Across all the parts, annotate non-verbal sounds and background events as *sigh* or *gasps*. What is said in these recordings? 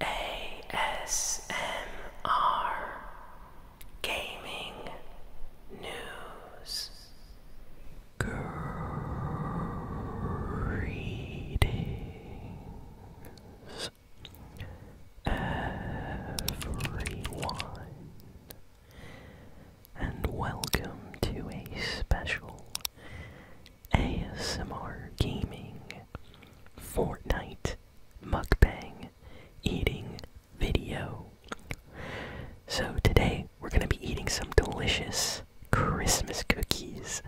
ASMR Gaming News Greetings everyone and welcome to a special ASMR gaming, Fortnite, mukbang, eating video. So today we're going to be eating some delicious Christmas cookies.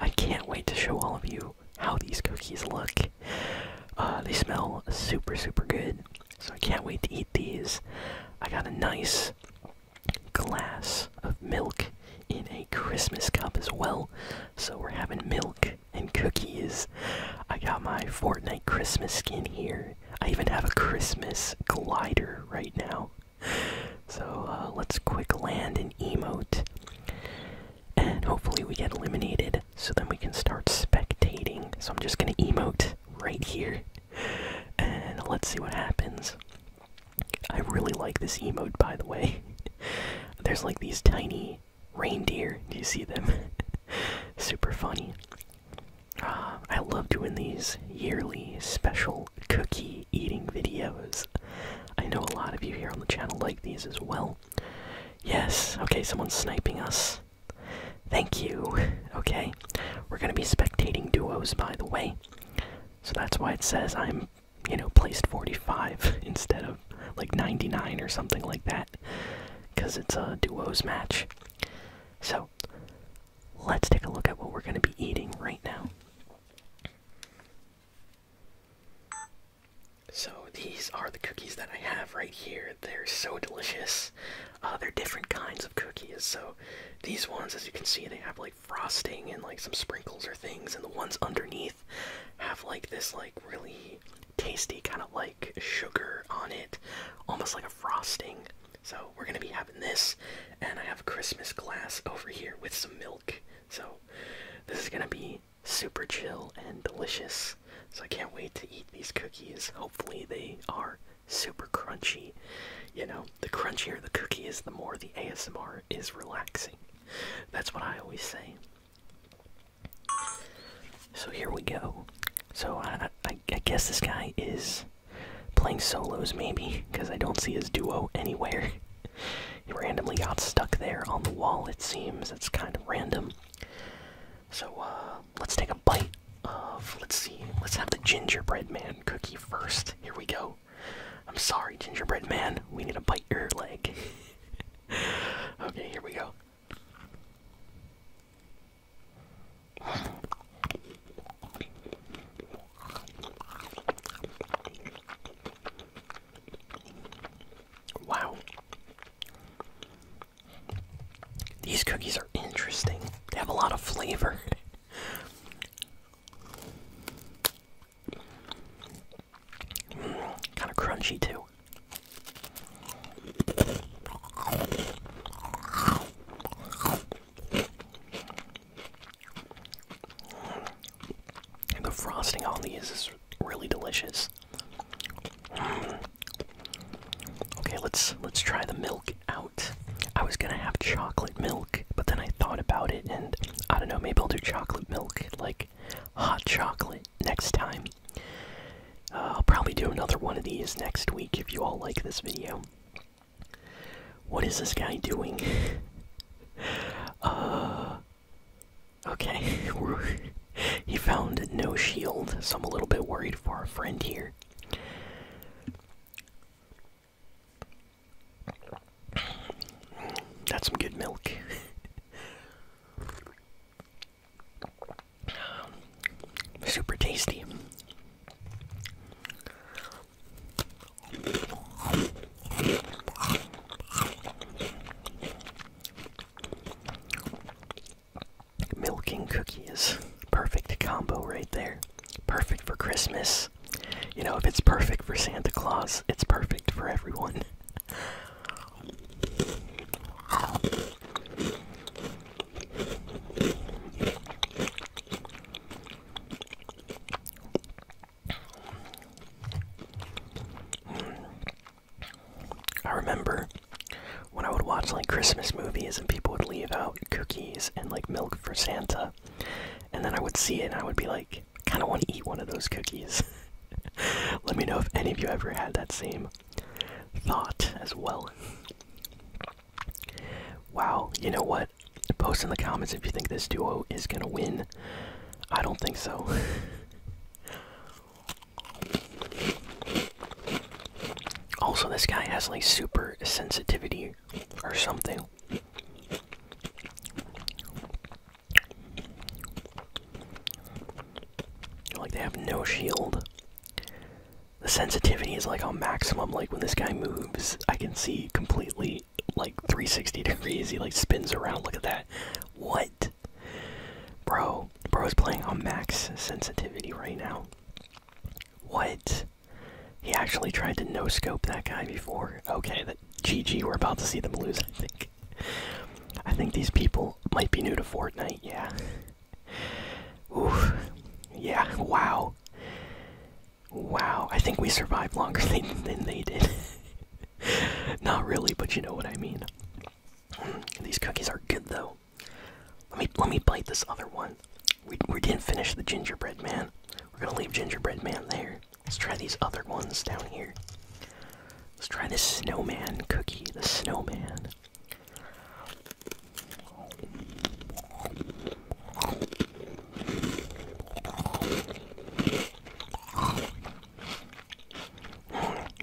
I can't wait to show all of you how these cookies look. Uh, they smell super, super good. So I can't wait to eat these. I got a nice glass of milk in a Christmas cup as well. So we're having milk and cookies. I got my Fortnite Christmas skin here. I even have a Christmas glider right now. So uh, let's quick land and emote. And hopefully we get eliminated so then we can start spectating. So I'm just gonna emote right here. And let's see what happens. I really like this emote, by the way. *laughs* There's like these tiny reindeer. Do you see them? *laughs* Super funny. Ah, I love doing these yearly special cookie eating videos. I know a lot of you here on the channel like these as well. Yes, okay, someone's sniping us. Thank you. *laughs* Okay, we're gonna be spectating duos, by the way. So that's why it says I'm you know, placed 45 *laughs* instead of like 99 or something like that because it's a duos match. So, let's take a look at what we're going to be eating right now. So, these are the cookies that I have right here. They're so delicious. Uh, they're different kinds of cookies. So, these ones, as you can see, they have like frosting and like some sprinkles or things, and the ones underneath have like this like really tasty kind of like sugar on it, almost like a frosting. So we're gonna be having this, and I have a Christmas glass over here with some milk. So this is gonna be super chill and delicious. So I can't wait to eat these cookies. Hopefully they are super crunchy. You know, the crunchier the cookie is, the more the ASMR is relaxing. That's what I always say. So here we go. So I, guess this guy is playing solos, maybe, because I don't see his duo anywhere. he randomly got stuck there on the wall, it seems. It's kind of random. So uh, let's take a bite of, let's see, let's have the gingerbread man cookie first. Here we go. I'm sorry, gingerbread man. We need to bite your leg. *laughs* okay, here we go. Wow. These cookies are interesting. They have a lot of flavor. *laughs* kind of crunchy too. The frosting on these is really delicious. Okay, let's let's try the milk out. I was gonna have chocolate milk but then I thought about it and I don't know, maybe I'll do chocolate milk, like hot chocolate next time. Uh, I'll probably do another one of these next week if you all like this video. What is this guy doing? *laughs* uh. Okay, *laughs* he found no shield, so I'm a little bit worried for our friend here. That's some good milk. *laughs* Super tasty. Milking cookies, perfect combo right there. Perfect for Christmas. You know, if it's perfect for Santa Claus, it's perfect for everyone. I remember when I would watch like Christmas movies and people would leave out cookies and like milk for Santa, and then I would see it and I would be like, kind of want to eat one of those cookies. *laughs* Let me know if any of you ever had that same thought as well. Wow, you know what? Post in the comments if you think this duo is gonna win. I don't think so. *laughs* also, this guy has like super sensitivity or something. Like they have no shield. The sensitivity is like on maximum. Like when this guy moves, I can see completely like 360 degrees. He like spins around. Look at that. What? Bro, bro is playing on max sensitivity right now. What? He actually tried to no scope that guy before. Okay, but GG, we're about to see them lose, I think. I think these people might be new to Fortnite, yeah. Oof. Yeah, wow. Wow, I think we survived longer *laughs* than, than they did. *laughs* Not really, but you know what I mean. These cookies are good though. Let me let me bite this other one. We we didn't finish the gingerbread man. We're gonna leave gingerbread man there. Let's try these other ones down here. Let's try this snowman cookie. The snowman.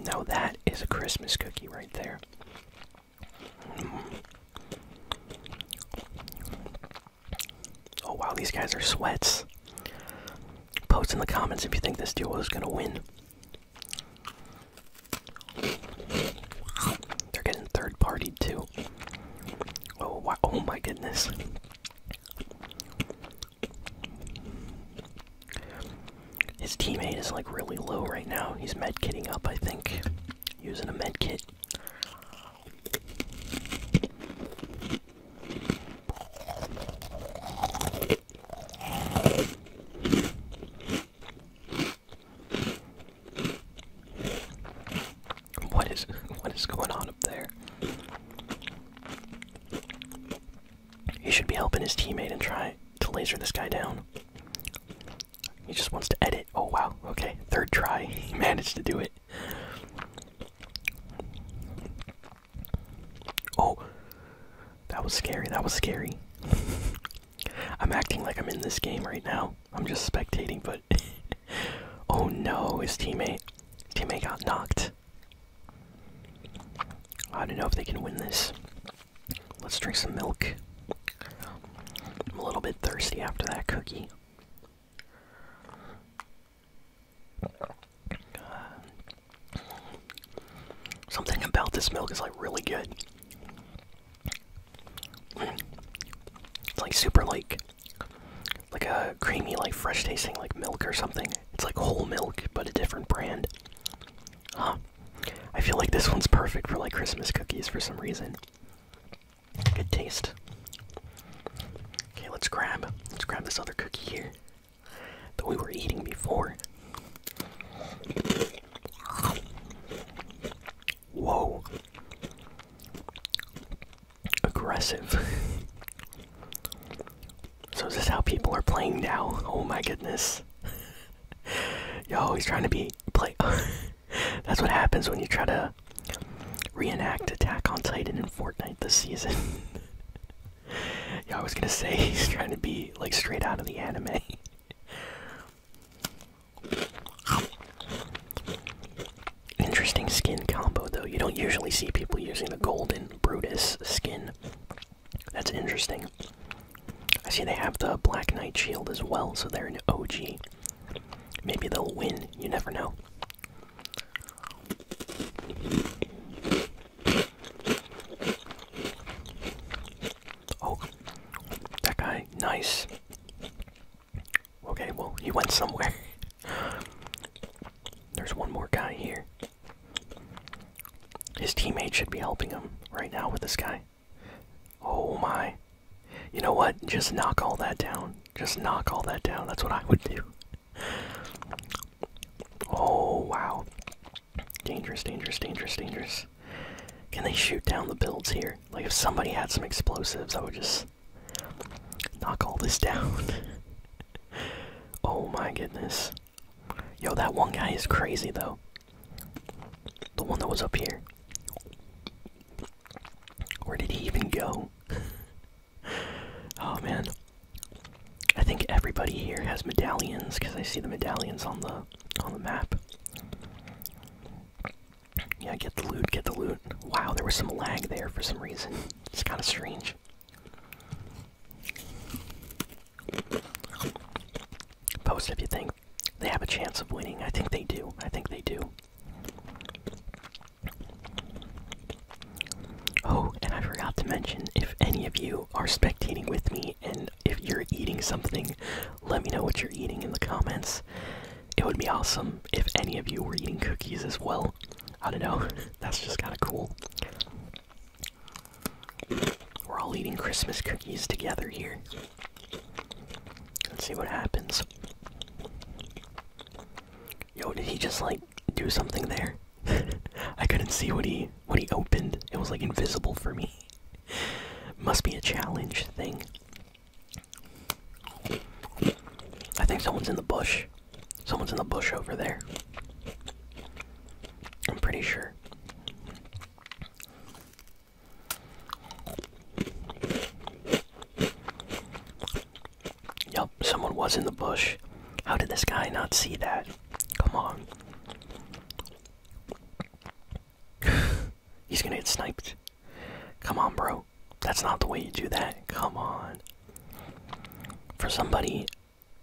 Now that is a Christmas cookie right there. Oh wow, these guys are sweats. Post in the comments if you think this duo is gonna win. They're getting third party too. Oh wow, oh my goodness. His teammate is like really low right now. He's medkitting up, I think. Using a medkit. What is *laughs* what is going on up there? He should be helping his teammate and try to laser this guy down. He just wants to edit. Oh wow, okay. Third try. *laughs* He managed to do it oh, that was scary. That was scary. *laughs* I'm acting like I'm in this game right now. I'm just spectating, but. *laughs* oh no, his teammate. teammate got knocked. I don't know if they can win this. Let's drink some milk. I'm a little bit thirsty after that cookie. Something about this milk is like really good. It's like super like like a creamy like fresh tasting like milk or something. It's like whole milk but a different brand. Huh. I feel like this one's perfect for like Christmas cookies for some reason. Good taste. Okay, let's grab let's grab this other cookie here that we were eating before. Whoa. Aggressive. so is this how people are playing now? Oh my goodness. *laughs* Yo, he's trying to be play. *laughs* That's what happens when you try to reenact Attack on Titan in Fortnite this season. *laughs* yeah, I was gonna say *laughs* he's trying to be like straight out of the anime. *laughs* Interesting skin combo though. You don't usually see people using the golden Brutus skin. That's interesting. I see they have the Black Knight shield as well, so they're an OG. Maybe they'll win, you never know. Oh, that guy, nice. Okay, well, he went somewhere. *laughs* There's one more guy here. His teammate should be helping him right now with this guy. Oh my. You know what? Just knock all that down. Just knock all that down. That's what I would do oh wow. Dangerous, dangerous, dangerous, dangerous. Can they shoot down the builds here? Like if somebody had some explosives, I would just knock all this *laughs* down. oh my goodness. Yo, that one guy is crazy though. The one that was up here. Where did he even go? *laughs* oh man. I think everybody here has medallions because I see the medallions on the on the map. Yeah, get the loot, get the loot. Wow, there was some lag there for some reason. *laughs* It's kind of strange. Post if you think they have a chance of winning. I think they do. I think they do. Oh, and I forgot to mention if any of you are spectating with me and if you're eating something, let me know what you're eating in the comments. It would be awesome if any of you were eating cookies as well. I don't know, *laughs* that's just kind of cool. We're all eating Christmas cookies together here. Let's see what happens. Yo, did he just like do something there. *laughs* I couldn't see what he what he opened. It was like invisible for me. Must be a challenge thing. I think someone's in the bush. Someone's in the bush over there. I'm pretty sure. Yup, someone was in the bush. How did this guy not see that? Come on. *laughs* He's gonna get sniped. Come on, bro. That's not the way you do that. Come on. For somebody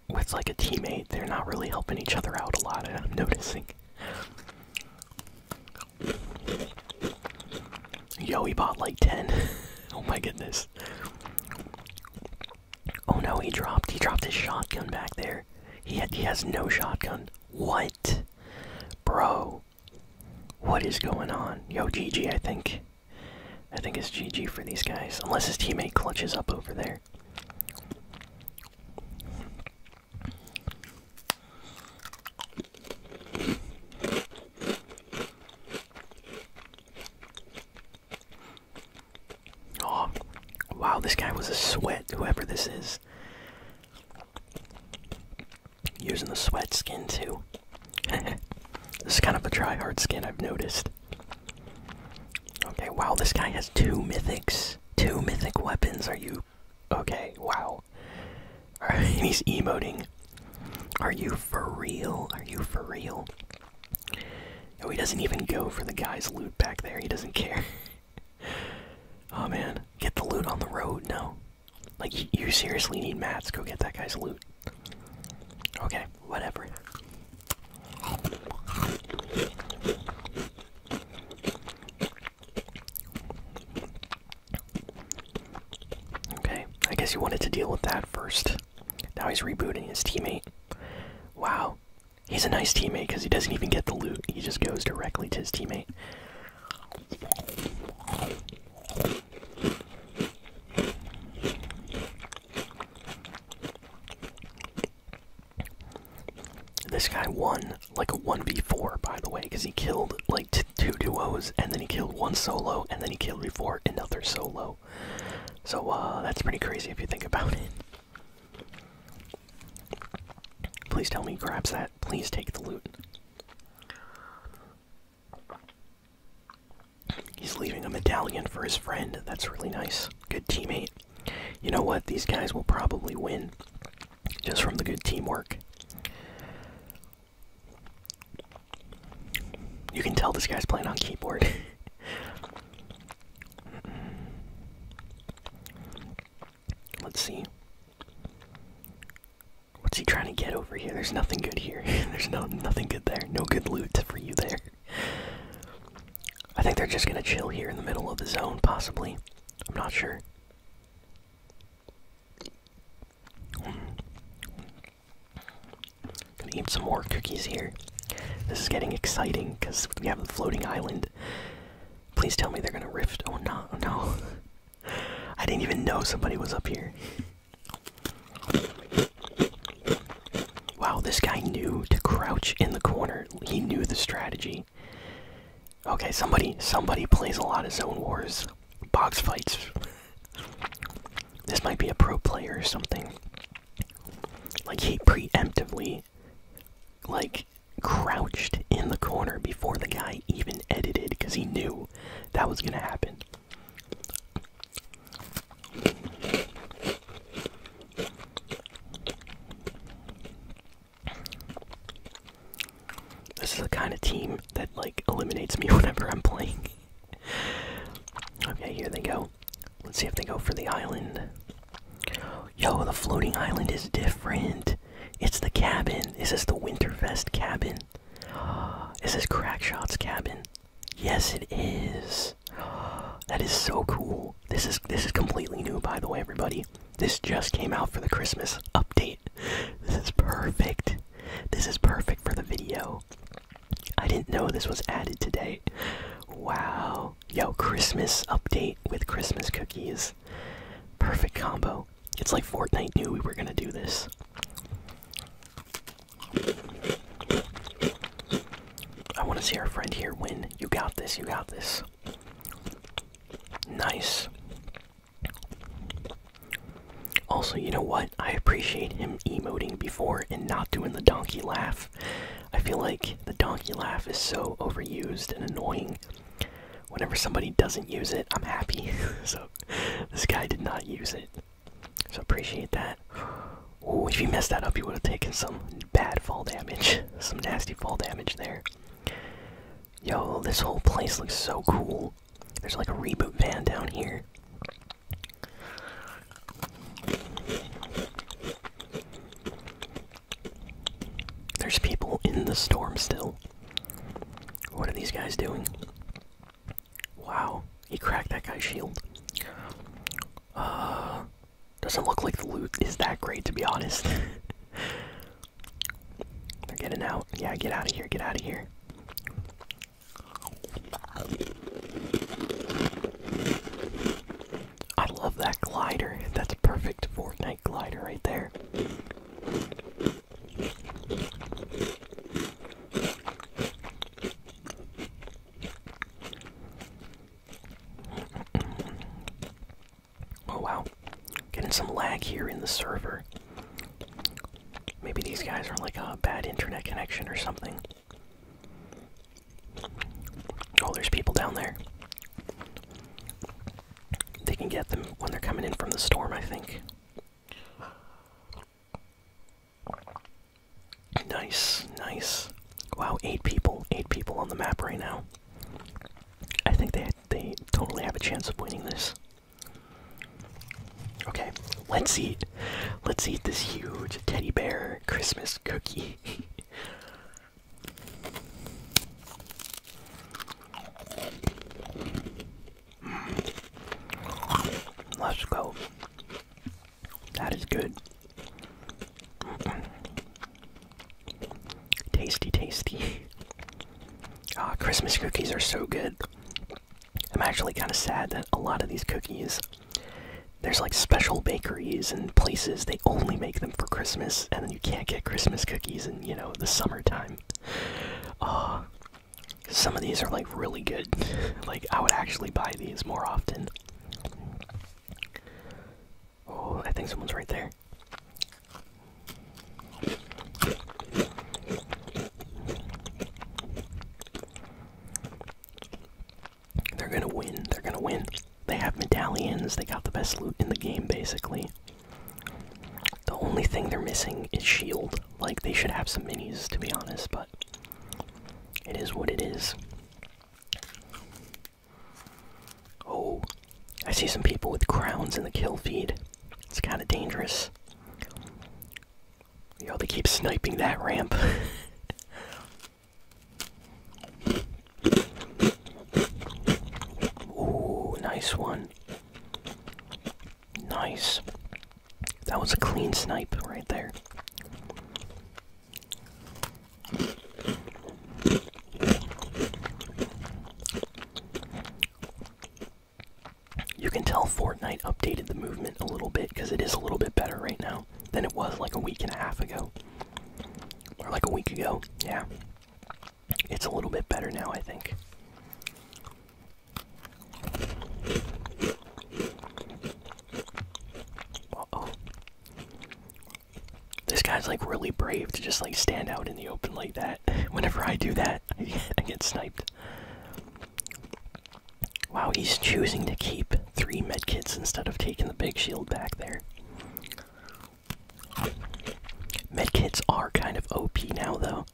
with like a teammate, they're not really helping each other out a lot, I'm noticing. Yo, he bought like 10. *laughs* oh my goodness. Oh no, he dropped. He dropped his shotgun back there. He he has no shotgun. What, bro? What is going on? Yo, GG. I think. I think it's GG for these guys, unless his teammate clutches up over there. Oh, wow, this guy was a sweat, whoever this is. Using the sweat skin too. *laughs* this is kind of a dry hard skin, I've noticed. Okay, wow, this guy has two mythics. Two mythic weapons, are you. Okay, wow. *laughs* he's emoting. Are you for real? Are you for real? Oh, he doesn't even go for the guy's loot back there. He doesn't care. *laughs* oh man, get the loot on the road. No. Like, you seriously need mats. Go get that guy's loot. Okay, whatever. Okay, I guess you wanted to deal with that first. Now he's rebooting his teammate. Wow. He's a nice teammate because he doesn't even get the loot. He just goes directly to his teammate. This guy won like a 1v4, by the way, because he killed like two duos, and then he killed one solo, and then he killed before another solo. So uh, that's pretty crazy if you think about it. Please tell me he grabs that. Please take the loot. He's leaving a medallion for his friend. That's really nice. Good teammate. You know what? These guys will probably win just from the good teamwork. You can tell this guy's playing on keyboard. *laughs* Let's see. What's he trying to get over here? There's nothing good here. *laughs* There's no nothing good there. No good loot for you there. I think they're just gonna chill here in the middle of the zone, possibly. I'm not sure. Gonna eat some more cookies here. This is getting exciting because we have the floating island. Please tell me they're gonna rift. Oh no, Oh no. *laughs* I didn't even know somebody was up here. Wow, this guy knew to crouch in the corner. He knew the strategy. Okay, somebody somebody plays a lot of zone wars. Box fights. This might be a pro player or something. Like he preemptively like crouched in the corner before the guy even edited because he knew that was gonna happen. This is the kind of team that like eliminates me *laughs* whenever I'm playing okay, here they go. Let's see if they go for the island. Yo, the floating island is different. It's the cabin. Is this the Winterfest cabin? *gasps* Is this Crackshot's cabin? Yes, it is. *gasps* That is so cool. This is this is completely new, by the way, everybody. This just came out for the Christmas update. *laughs* This is perfect. This is perfect for the video. I didn't know this was added today. Wow. Yo, Christmas update with Christmas cookies. Perfect combo. It's like Fortnite knew we were gonna do this. I wanna see our friend here win. You got this, you got this. Nice. Also, you know what? I appreciate him emoting before and not doing the donkey laugh. I feel like the donkey laugh is so overused and annoying. Whenever somebody doesn't use it, I'm happy. *laughs* so, this guy did not use it. So, appreciate that. Ooh, if you messed that up, you would have taken some bad fall damage. *laughs* Some nasty fall damage there. Yo, this whole place looks so cool. There's like a reboot van down here. There's people in the storm still. What are these guys doing? Wow, he cracked that guy's shield. Uh, doesn't look like the loot is that great, to be honest. *laughs* They're getting out. Yeah, get out of here, get out of here. I love that glider. That's a perfect Fortnite glider right there. Oh wow. Getting some lag here in the server. Maybe these guys are like a bad internet connection or something. Oh, there's people down there. They can get them when they're coming in from the storm, I think. Nice, nice. Wow, eight people, eight people on the map right now. I think they they totally have a chance of winning this. Okay, let's eat. Let's eat this huge teddy bear Christmas cookie. *laughs* Let's go. That is good. Tasty, tasty. *laughs* Ah, Christmas cookies are so good. I'm actually kind of sad that a lot of these cookies, there's like special bakeries and places they only make them for Christmas, and then you can't get Christmas cookies in, you know, the summertime. Uh, some of these are like really good. *laughs* like, I would actually buy these more often. Oh, I think someone's right there. They're gonna win. They're gonna win. They have medallions. They got the best loot in the game, basically. The only thing they're missing is shield. Like, they should have some minis, to be honest, but it is what it is. Oh, I see some people with crowns in the kill feed. It's kind of dangerous. Yo, they keep sniping that ramp. *laughs* Ooh, nice one. Nice. That was a clean snipe right there you can tell Fortnite updated the movement a little bit because it is a little bit better right now than it was like a week and a half ago. Or like a week ago, yeah. It's a little bit better now, I think. oh. This guy's like really brave to just like stand out in the open like that. *laughs* Whenever I do that, *laughs* I get sniped. Wow, he's choosing to keep three medkits instead of taking the big shield back there. Medkits are kind of OP now, though.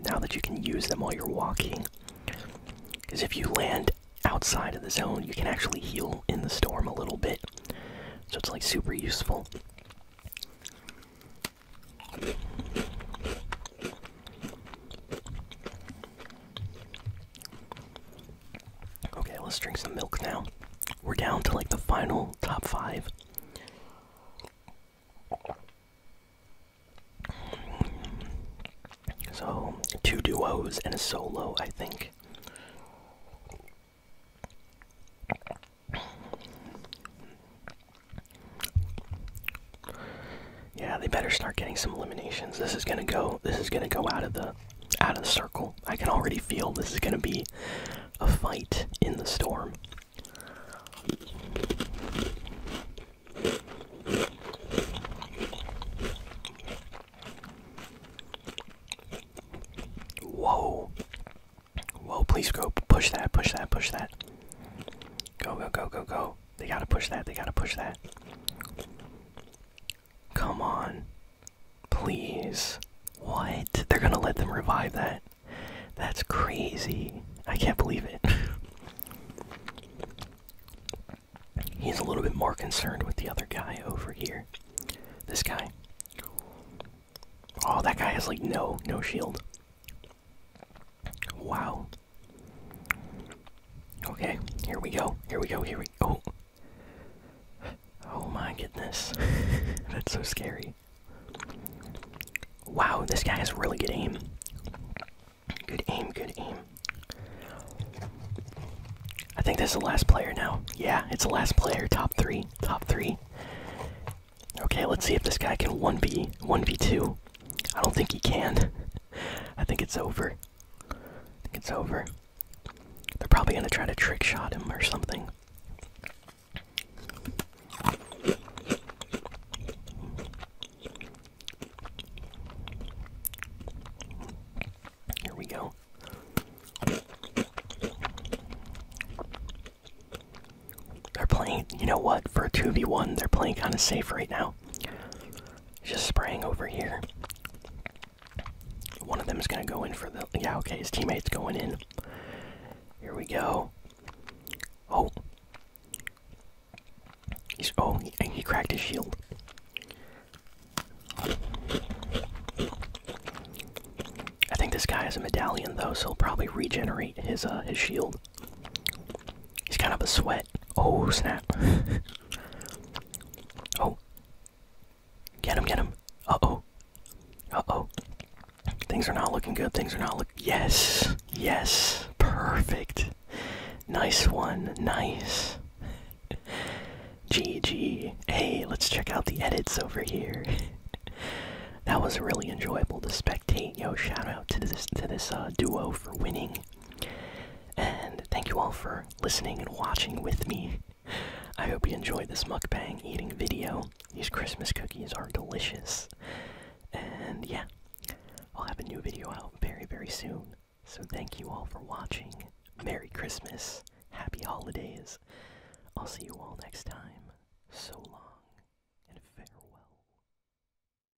Now that you can use them while you're walking. Because if you land outside of the zone, you can actually heal in the storm a little bit. So it's like super useful. Okay, let's drink some milk now. We're down to like the final top five. So, two duos and a solo, I think. Yeah, they better start getting some eliminations. This is gonna go. This is gonna go out of the out of the circle. I can already feel this is gonna be a fight in the storm. Whoa. Whoa, please go. Push that, push that, push that. Go, go, go, go, go. They gotta push that. They gotta push that. Come on. Please. What? They're gonna let them revive that. That's crazy. I can't believe it. *laughs* He's a little bit more concerned with the other guy over here. This guy. Oh, that guy has like no, no shield. Wow. Okay, here we go. Here we go. Here we go. Oh. oh my goodness. *laughs* That's so scary. Wow, this guy has really good aim. Good aim, good aim. I think this is the last player now. Yeah, it's the last player. Top three. Top three. Okay, let's see if this guy can 1v, 1v2. I don't think he can. *laughs* I think it's over. I think it's over. They're probably gonna try to trick shot him or something. Here we go. They're playing, you know what, for a 2v1, they're playing kind of safe right now just spraying over here. One of them is gonna go in for the yeah. Okay, his teammate's going in. Here we go. Oh, he's oh and he cracked his shield. I think this guy has a medallion though, so he'll probably regenerate his uh his shield. He's kind of a sweat. Oh snap. *laughs* oh. Get him, get him. Uh oh. Uh oh. Things are not looking good. Things are not look. Yes. Yes. Perfect. Nice one. Nice. GG. *laughs* Hey, let's check out the edits over here. *laughs* that was really enjoyable to spectate. Yo, shout out to this to this uh, duo for winning. And thank you all for listening and watching with me. I hope you enjoyed this mukbang eating video. These Christmas cookies are delicious. And yeah, I'll have a new video out very, very soon. So thank you all for watching. Merry Christmas. Happy holidays. I'll see you all next time. So long and farewell.